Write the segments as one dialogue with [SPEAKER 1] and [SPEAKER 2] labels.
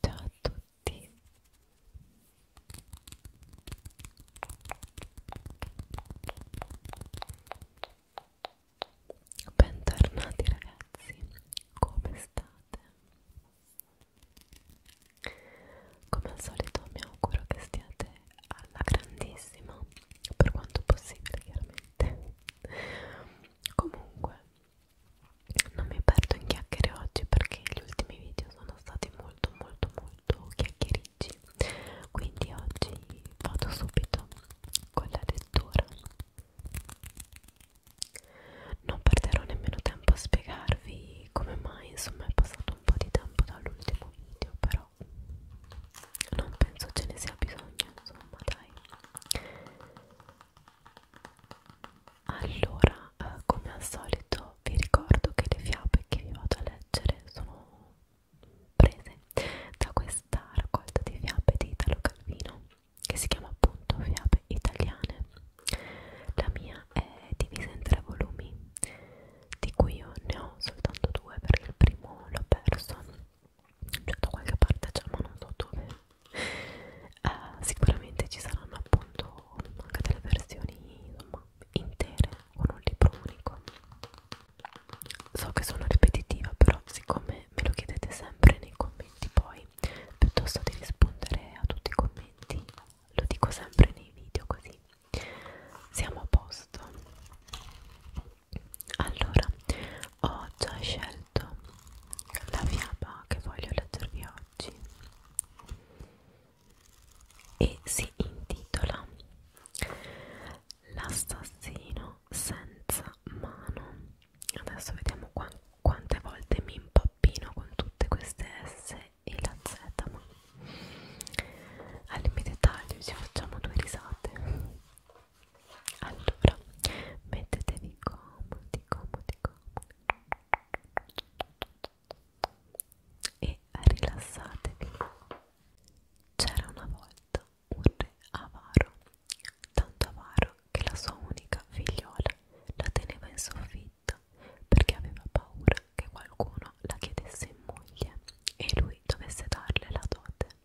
[SPEAKER 1] Ciao a tutti. Bentornati ragazzi, come state? come al solito mi auguro che stiate alla grandissima per quanto possibile chiaramente comunque non mi perdo in chiacchiere oggi perché gli ultimi video sono stati molto molto molto chiacchiericci quindi oggi vado subito con la lettura non perderò nemmeno tempo a spiegarvi come mai insomma è passato un po' di tempo dall'ultimo nuovo video però non penso ce ne sia bisogno insomma dai allora eh, come al solito vi ricordo che le fiabe che vi vado a leggere sono prese da questa raccolta di fiabe di Italo Calvino che si chiama appunto fiabe italiane la mia è divisa in tre volumi di cui io ne ho soltanto due perché il primo l'ho perso cioè da qualche parte c'è ma non so dove uh, sicuramente ci saranno appunto anche delle versioni insomma, intere con un libro unico so che sono ripetitiva però siccome me lo chiedete sempre nei commenti poi piuttosto di rispondere a tutti i commenti lo dico sempre nei video così siamo a posto allora ho già scelto la fiaba che voglio leggervi oggi e si intitola L'assassino senza mano. Adesso vediamo qua, quante volte mi impappino con tutte queste S e la Z ma al limite taglio ci facciamo due risate allora mettetevi comodi comodi comodi e rilassatevi c'era una volta un re avaro tanto avaro che la sua unica figliola la teneva in soffitto perché aveva paura che qualcuno la chiedesse in moglie e lui dovesse darle la dote.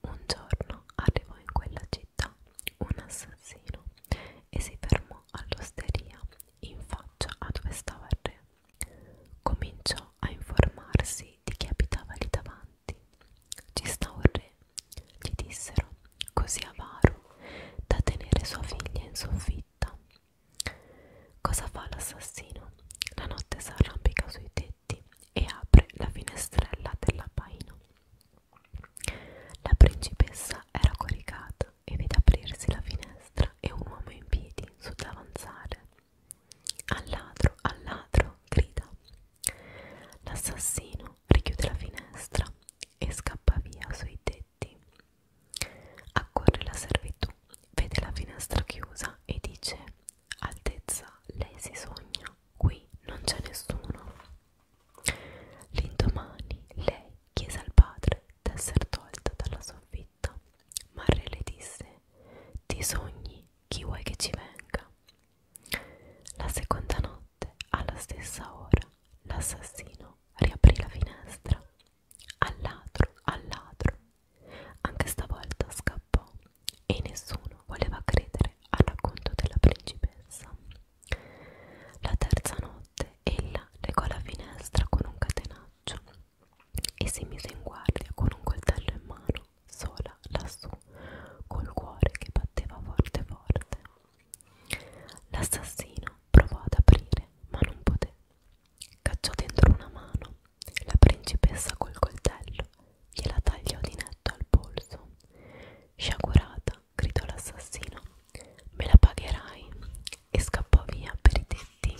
[SPEAKER 1] Un giorno arrivò in quella città un assassino e si fermò all'osteria in faccia a dove stava il re. Cominciò a informarsi di chi abitava lì davanti. Ci sta un re, gli dissero, così avaro da tenere sua figlia in soffitta Cosa fa l'assassino? La notte s'arrampica sui tetti e apre la finestrella dell'appaino. La principessa era coricata e vede aprirsi la finestra e un uomo in piedi sull'avanzare. Al ladro, al ladro, grida. L'assassino richiude la finestra e scappa via sui tetti Accorre la servitù, vede la finestra chiusa e dice: Altezza, lei si sogna, qui non c'è nessuno. L'indomani lei chiese al padre d'essere tolta dalla soffitta, ma il re le disse: Ti sogni, chi vuoi che ci venga? La seconda notte, alla stessa ora, l'assassino riaprì la finestra al ladro, al ladro. Anche stavolta scappò e nessuno voleva credere al racconto della principessa. La terza notte ella legò la finestra con un catenaccio e si mise in guardia con un coltello in mano, sola lassù, col cuore che batteva forte forte. L'assassino provò ad aprire, ma non poté. Cacciò dentro una mano, la principessa col coltello gliela tagliò di netto al polso. Sciagurata, gridò l'assassino, me la pagherai e scappò via per i tetti.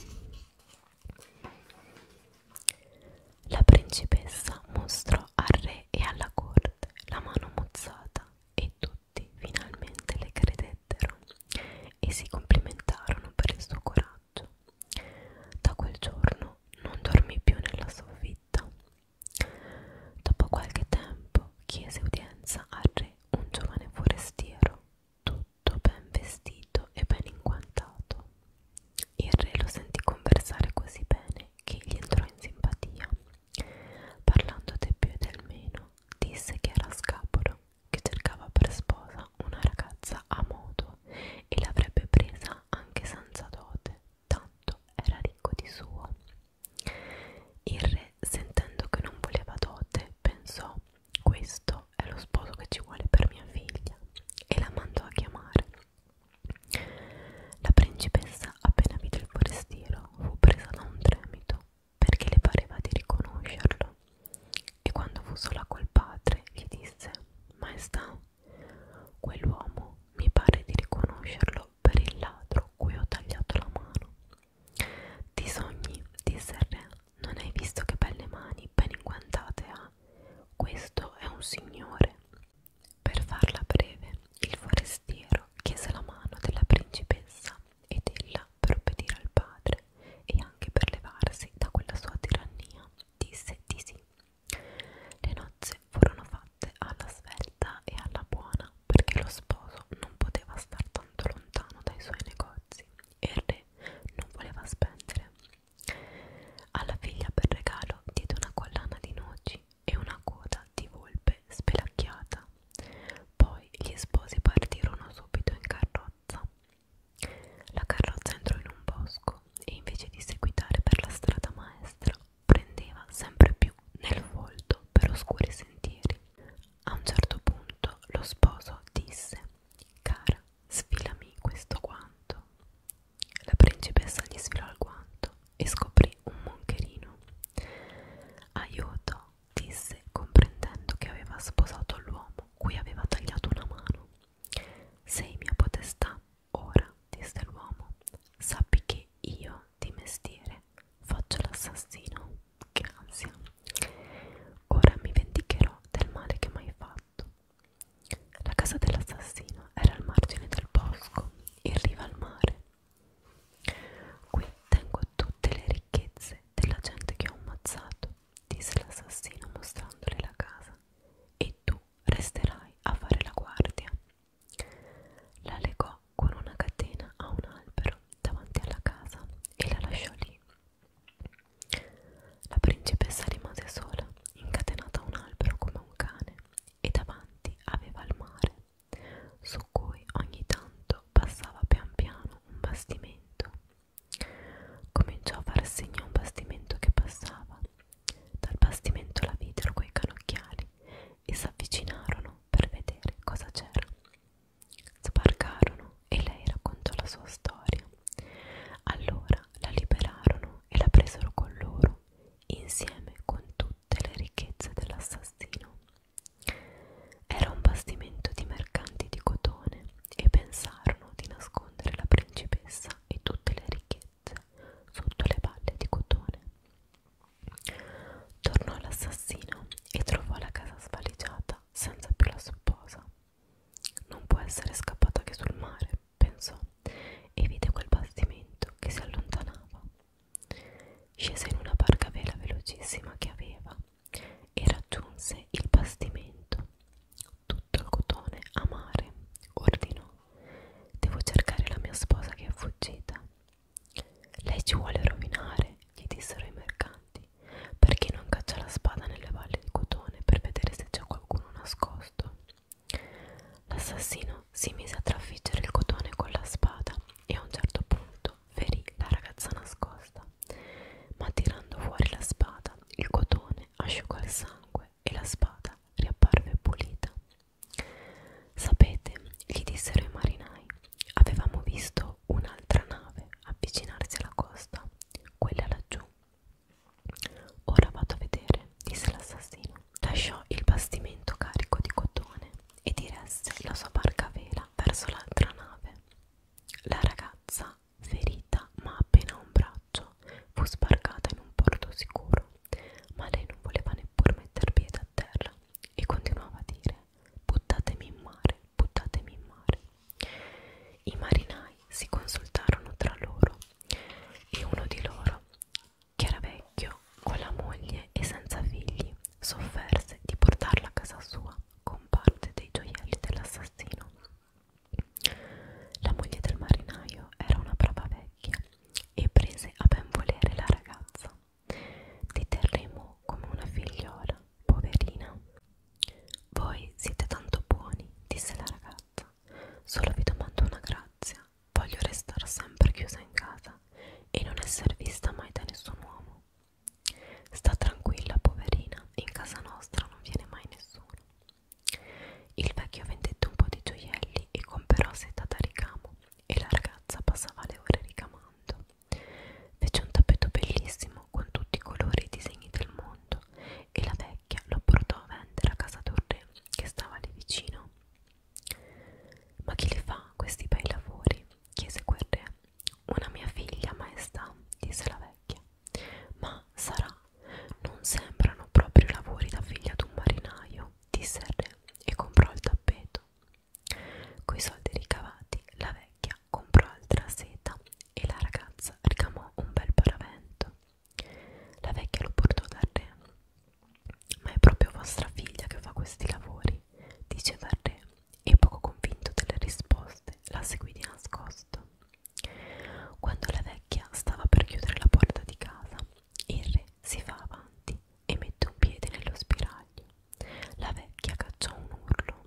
[SPEAKER 1] La principessa mostrò al re e alla corte la mano mozzata e tutti finalmente le credevano sedettero e si complimentarono per il suo coraggio. Da quel giorno non dormì più nella soffitta. Dopo qualche tempo chiese udienza al re un giovane forestiero, tutto ben vestito e ben inguantato. Il re lo sentì conversare così bene che gli entrò in simpatia. Parlando del più e del meno, disse che era scapolo che cercava per sposa una ragazza a modo e l'avrebbe presa anche senza dote, tanto era ricco di suo. Il re, sentendo che non voleva dote, pensò: Questo è lo sposo che ci vuole per mia figlia, e la mandò a chiamare. La principessa, appena vide il forestiero, fu presa da un tremito perché le pareva di riconoscerlo. E quando fu sola col padre gli disse: Maestà, quell'uomo mi pare di riconoscerlo per il ladro cui ho tagliato la mano. Ti sogni, disse il re, non hai visto che belle mani ben inguantate ha? Questo è un signore. Per farla breve, il forestiero chiese la mano della principessa ed ella per obbedire al padre e anche per levarsi da quella sua tirannia disse di sì. Le nozze furono fatte alla svelta e alla buona perché lo sposo non poteva star tanto lontano dai suoi negozi e il re non voleva spendere. Alla figlia per regalo diede una collana di noci e una coda di volpe spelacchiata. Poi gli sposi partirono subito in carrozza la carrozza entrò in un bosco e invece di seguitare per la strada maestra prendeva sempre più nel volto per oscuri sentieri. A un certo punto lo sposo disse Cara, sfilami questo guanto. La principessa gli sfilò il guanto e scoprì un moncherino. Aiuto, disse comprendendo che aveva sposato l'uomo cui aveva tagliato una mano. Sei mia potestà, ora, disse l'uomo, sappi che io, di mestiere, faccio l'assassino. Che ansia. Ora mi vendicherò del male che m'hai fatto. La casa dell'assassino era al margine del bosco, in riva al mare. Qui tengo tutte le ricchezze della gente che ho ammazzato disse l'assassino mostrandole la casa, e tu resterai a fare la guardia. La legò con una catena a un albero davanti alla casa e la lasciò lì. La principessa rimase sola, incatenata a un albero come un cane, e davanti aveva il mare, su cui ogni tanto passava pian piano un bastimento Cominciò a far segno a un bastimento che passava. Dal bastimento la videro coi canocchiali e s'avvicinarono per vedere cosa c'era. Sbarcarono e lei raccontò la sua storia. Allora la liberarono e la presero con loro, insieme con tutte le ricchezze dell'assassino. Era un bastimento di mercanti di cotone e pensarono di nascondere la principessa e tutte le ricchezze sotto le palle di cotone. Tornò l'assassino e trovò la casa svaligiata senza più la sposa. Non può essere scappata che sul mare, pensò, e vide quel bastimento che si allontanava. Scese in una barca vela velocissima che aveva e raggiunse il bastimento. Tutto il cotone a mare, ordinò. Devo cercare la mia sposa che è fuggita. Lei ci vuole rovinare, gli dissero i mercanti, perché non caccia la spada nelle valli di cotone per vedere se c'è qualcuno nascosto. L'assassino si mise a traffiggere il cotone con la spada e a un certo punto ferì la ragazza nascosta ma tirando fuori la spada il cotone asciugò il sangue e la spada riapparve pulita. Sapete, gli dissero i marinai, avevamo visto un'altra nave avvicinarsi alla costa, quella laggiù. Ora vado a vedere, disse l'assassino. Lasciò il bastimento carico di cotone e diresse la sua barca a vela verso l'altra nave. La ragazza ferita ma appena un braccio fu sbarcata in un porto sicuro ma lei non voleva neppur metter piede a terra e continuava a dire buttatemi in mare buttatemi in mare i marinai si consultarono tra loro e uno di loro che era vecchio con la moglie e senza figli s'offerse di portarla a casa sua con parte dei gioielli dell'assassino la moglie del marinaio era una brava vecchia e prese a ben volere la ragazza. Ti terremo come una figliola, poverina. Voi siete tanto buoni, disse la ragazza. Solo vi domando una grazia. Voglio restare sempre chiusa in casa e non esser vista mai da nessun uomo. Sta tranquilla, poverina, in casa nostra non viene mai nessuno. Il vecchio vendette un po' di gioielli e comperò seta da ricamo e la ragazza passava le ore ricamando. Fece un tappeto bellissimo con tutti i colori e i disegni del mondo e la vecchia lo portò a vendere a casa d'un re che stava lì vicino. Ma chi li fa questi bei lavori? chiese quel re. Una mia figlia, maestà, disse la vecchia. Ma sarà, non sembrano proprio lavori da figlia d'un marinaio, disse il re e comprò il tappeto. Coi soldi ricavati, la vecchia comprò altra seta e la ragazza ricamò un bel paravento. La vecchia lo portò dal re. Ma è proprio vostra figlia che fa questi lavori, diceva il re, e poco convinto delle risposte la seguì di nascosto. Quando la vecchia stava per chiudere la porta di casa, il re si fa avanti e mette un piede nello spiraglio. La vecchia cacciò un urlo.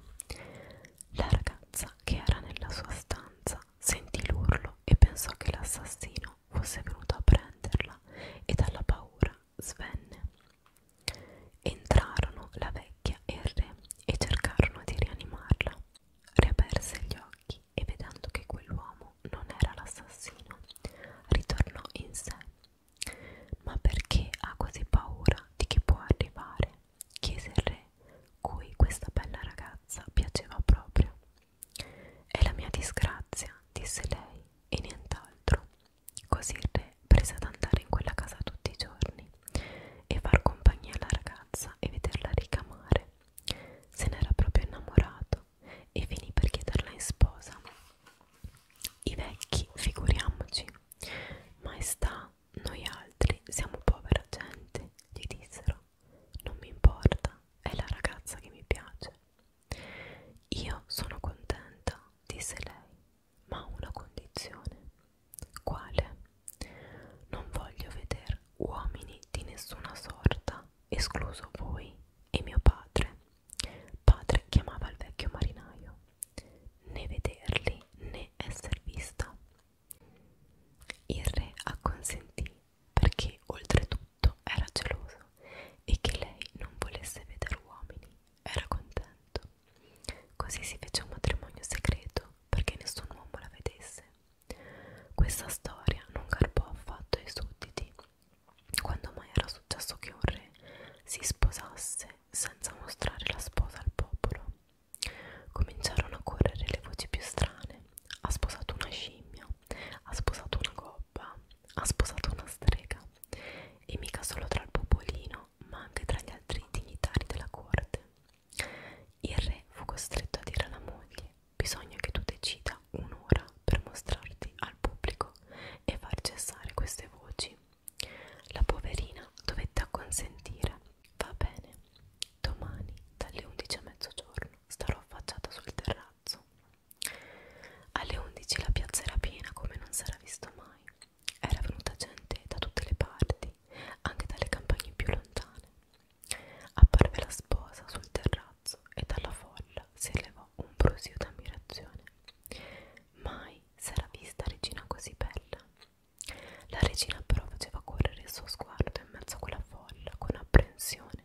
[SPEAKER 1] La ragazza che era nella sua stanza sentì l'urlo e pensò che l'assassino fosse venuto a prenderla e dalla paura svenne. Entrarono la vecchia e il re e cercarono di rianimarla. Riaperse gli occhi e vedendo che quell'uomo non era l'assassino, ritornò in sé. Ma perché ha così paura di chi può arrivare? chiese il re, cui questa bella ragazza piaceva proprio. È la mia disgrazia, disse lei, e nient'altro. Così il re prese ad andare in quella casa tutti i giorni e far compagnia alla ragazza e vederla ricamare. Se n'era proprio innamorato e finì per chiederla in sposa. I vecchi, figuriamoci, maestà, noi altri siamo povera gente, gli dissero. Non mi importa, è la ragazza che mi piace. Io sono contenta, disse lei, ma a una condizione. Quale? Non voglio veder uomini di nessuna sorta, escluso voi e mio padre. Padre chiamava il vecchio marinaio. Né vederli né esser vista. Il re acconsentì perché oltretutto era geloso e che lei non volesse vedere uomini era contento. Così si fece un matrimonio segreto perché nessun uomo la vedesse. Questa storia non carpò affatto ai sudditi. Quando mai era successo che un re si sposasse senza mostrare la sposa al popolo? Cominciarono a correre le voci più strane. Ha sposato una scimmia, ha sposato una gobba, ha sposato una strega. E mica solo tra il popolino, ma anche tra gli altri dignitari della corte. Il re fu costretto a dire alla moglie: Bisogna che tu decida un'ora per mostrarti al pubblico e far cessare queste voci. La poverina dovette acconsentire. Va bene, domani dalle 11 a mezzogiorno starò affacciata sul terrazzo. Alle 11 la piazza era piena come non s'era visto mai. Era venuta gente da tutte le parti anche dalle campagne più lontane. Apparve la sposa sul terrazzo e dalla folla si elevò un brusio d'ammirazione. Mai s'era vista regina così bella. La regina però faceva correre il suo sguardo in mezzo a quella folla con apprensione.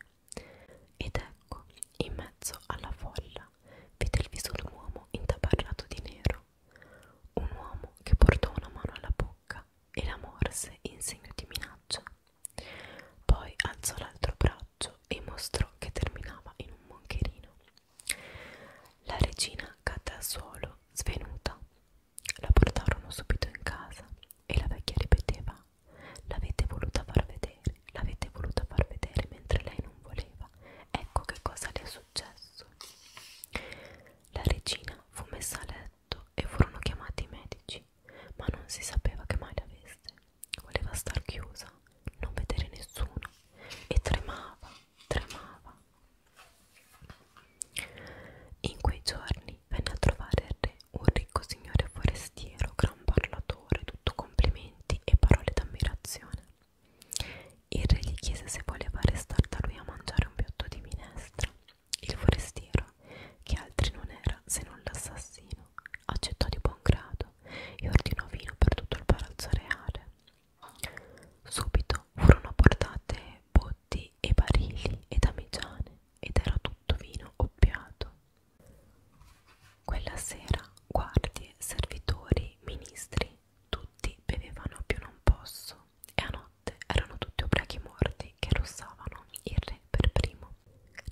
[SPEAKER 1] Ed ecco, in mezzo alla folla, vide il viso d'un uomo intabarrato di nero. Un uomo che portò una mano alla bocca bocca e la morse in segno di minaccia. Poi alzò l'altro braccio e mostrò che terminava in un moncherino. La regina cadde al suolo, svenuta. La portarono subito in casa e la vecchia ripeteva: L'avete voluta far vedere, l'avete voluta far vedere mentre lei non voleva. Ecco che cosa le è successo. La regina fu messa a letto e furono chiamati i medici, ma non si sapeva che male avesse. Voleva star chiusa, non vedere nessuno e tremava, tremava. In quei giorni venne a trovare il re un ricco signore forestiero, gran parlatore, tutto complimenti e parole d'ammirazione. Il re gli chiese se voleva restar da lui a mangiare un piatto di minestra il forestiero, che altri non era se non l'assassino, accettò di buon grado e ordinò vino per tutto il palazzo reale. Subito furono portate botti e barili ed amigiane ed era tutto vino oppiato. Quella sera guardie, servitori, ministri, tutti bevevano più non posso e a notte erano tutti ubriachi morti che russavano il re per primo.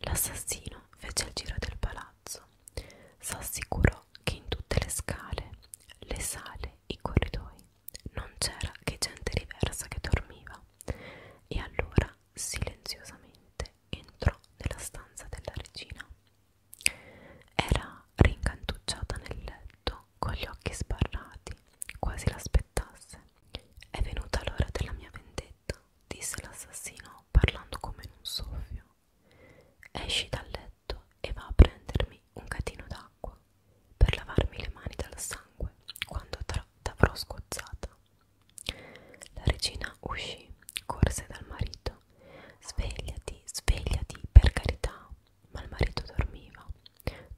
[SPEAKER 1] L'assassino fece il giro del palazzo, s'assicurò che in tutte le scale, le sale, i corridoi non c'era che gente diversa che dormiva e allora silenziosamente entrò nella stanza della regina. Era rincantucciata nel letto con gli occhi sbarrati quasi l'aspettasse. È venuta l'ora della mia vendetta, disse l'assassino parlando come in un soffio. Esci dal letto e va a prendermi un catino d'acqua per lavarmi le mani dal sangue quando t'avrò scozzata. La regina uscì, corse dal marito. Svegliati, svegliati, per carità, ma il marito dormiva,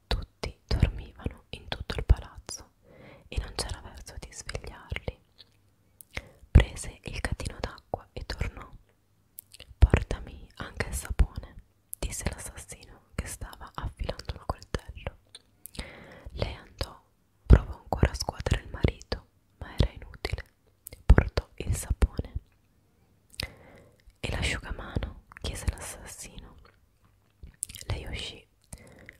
[SPEAKER 1] tutti dormivano in tutto il palazzo e non c'era verso di svegliarli. Prese il catino d'acqua e tornò. Portami anche il sapone, disse l'assassino che stava affilando un coltello. Lei andò, provò ancora a scuotere il marito, ma era inutile. Portò il sapone. E l'asciugamano? chiese l'assassino. Lei uscì,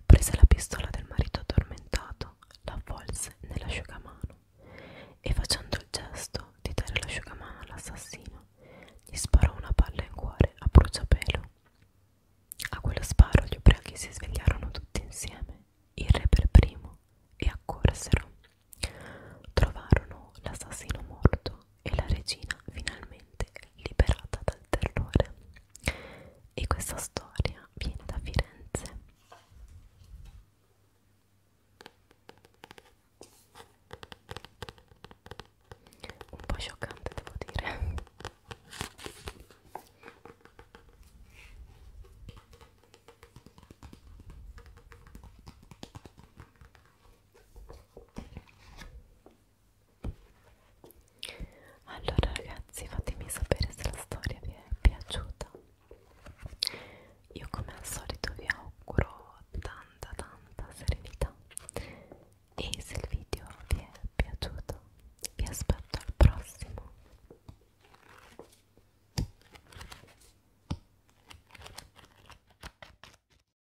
[SPEAKER 1] prese la pistola del marito addormentato, la avvolse nell'asciugamano e facendo il gesto di dare l'asciugamano all'assassino, gli sparò una palla in cuore a bruciapelo. A quello sparo gli ubriachi si svegliarono tutti insieme, il re per primo, e accorsero. Trovarono l'assassino morto e la regina finalmente liberata dal terrore. E questa storia viene da Firenze. Un po' scioccante, devo dire allora ragazzi fatemi sapere se la storia vi è piaciuta io come al solito vi auguro tanta tanta serenità e se il video vi è piaciuto vi aspetto al prossimo